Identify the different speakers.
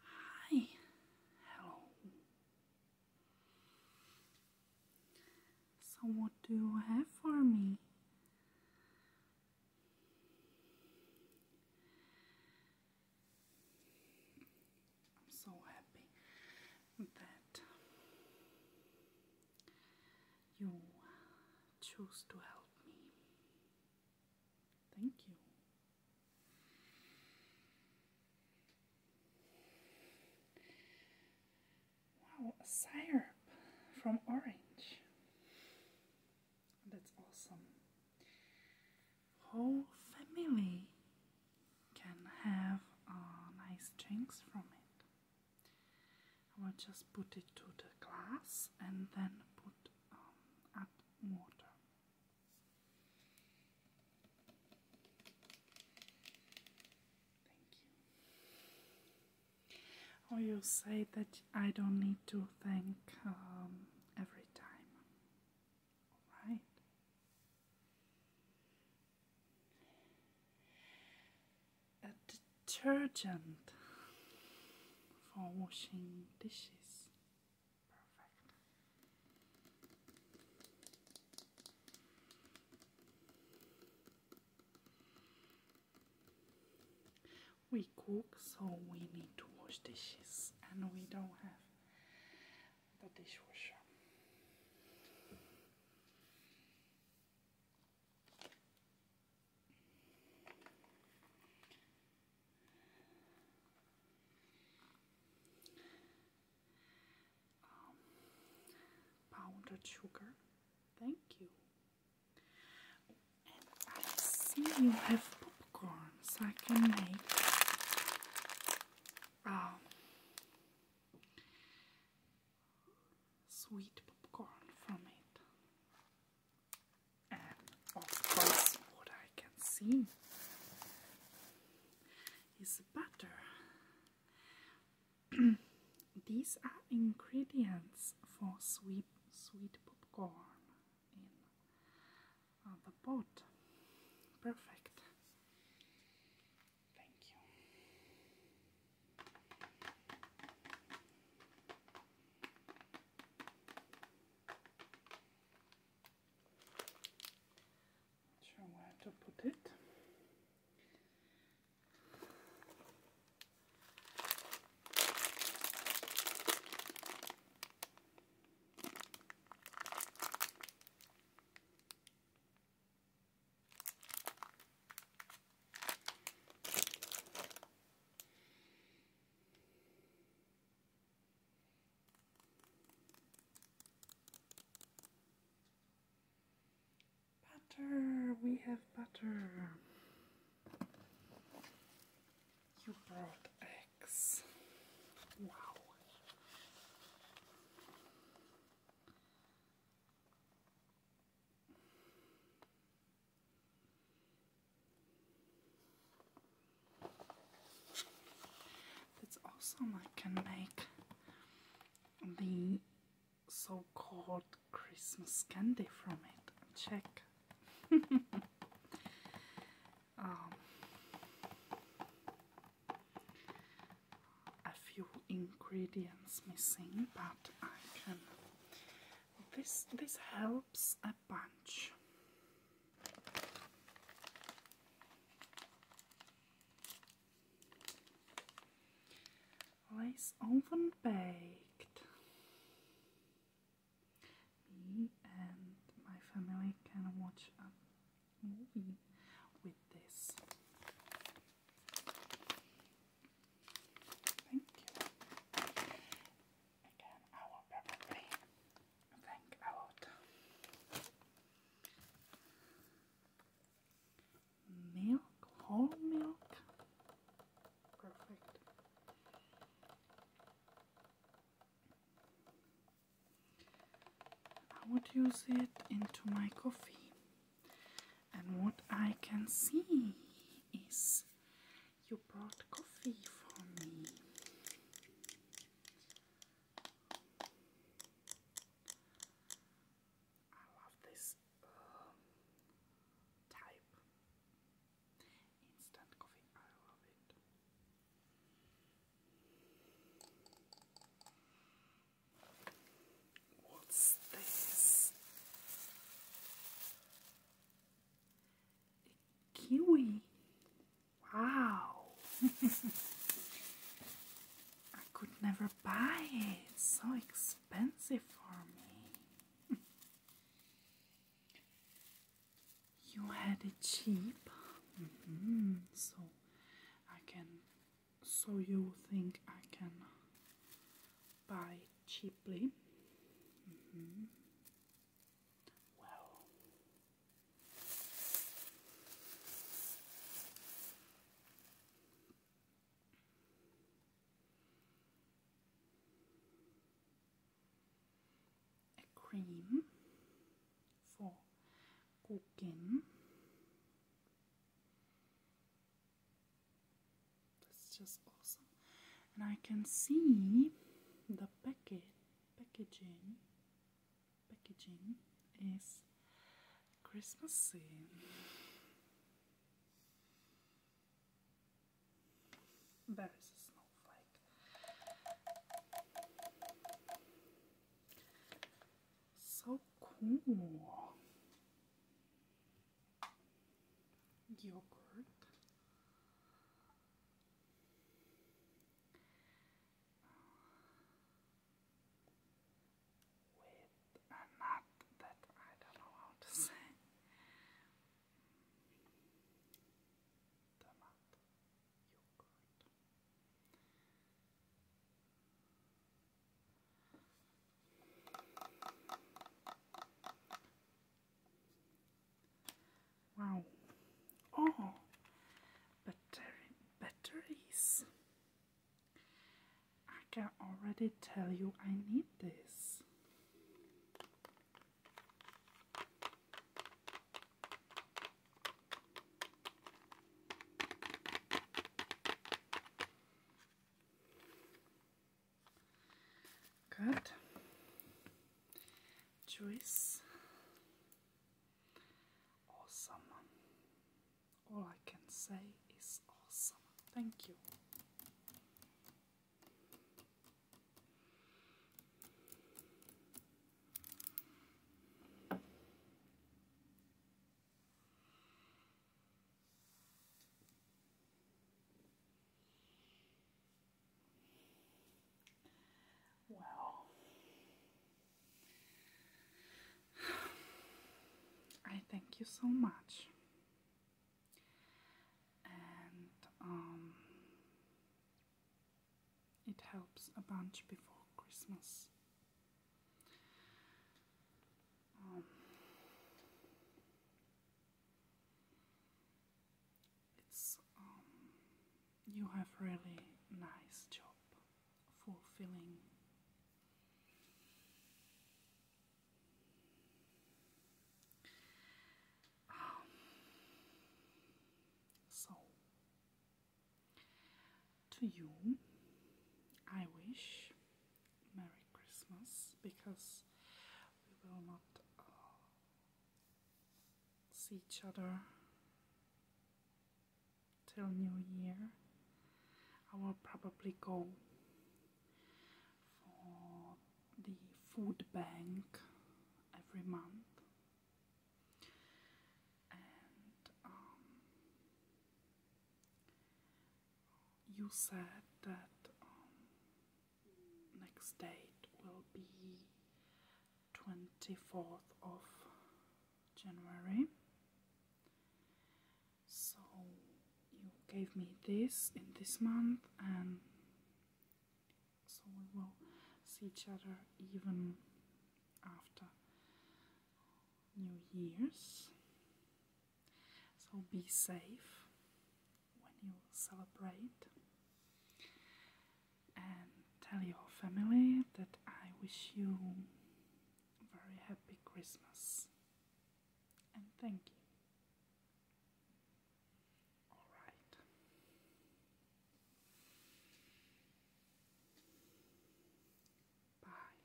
Speaker 1: Hi. Hello. So, what do you have for me? I'm so happy that you choose to help me. Thank you. Wow, syrup from orange. That's awesome. Whole family can have uh, nice drinks from it. I will just put it to the glass and then put um, water. Thank you. Or you say that I don't need to thank um, every time. Alright. A detergent for washing dishes. Perfect. We cook, so we need to wash dishes, and we don't have the dishwasher. Um, powdered sugar. Thank you. And I see you have popcorns. I can make um, sweet popcorn from it and um, of course what I can see is butter. These are ingredients for sweet sweet popcorn in uh, the pot. Perfect. Thank you. Not sure where to put it. Butter, we have butter. You brought eggs. Wow. It's awesome I can make the so-called Christmas candy from it. Check. Um, a few ingredients missing, but I can. This this help helps a bunch. Lace oven baked. Me and my family can watch a movie with this. Again, I will probably think about milk, whole milk. Perfect. I would use it into my coffee, and what I can see is you brought coffee for me. I love this um, type instant coffee. I love it. What's this? Kiwi. Wow. I could never buy it. It's so expensive for me. you had it cheap. Mm-hmm. So I can. So you think I can buy cheaply. Mm-hmm. Well, a cream for cooking. That's just awesome. And I can see the packet packaging packaging is Christmassy. There is a snowflake. So cool yogurt with a nut that I don't know how to say. The yogurt. Wow. Oh, battery, batteries. I can already tell you I need this. Good. Juice. Awesome. All I can say is awesome. Thank you. Well, I thank you so much, and um, it helps a bunch before Christmas. Um, it's um, you have really nice job, fulfilling. Um, so, to you, I wish Merry Christmas because we will not uh, see each other till New Year. I will probably go for the food bank every month. And um, you said that um, next date will be 24th of January. So you gave me this in this month and so we will see each other even after New Year's so be safe when you celebrate and tell your family that I wish you a very happy Christmas and thank you. All right. Bye.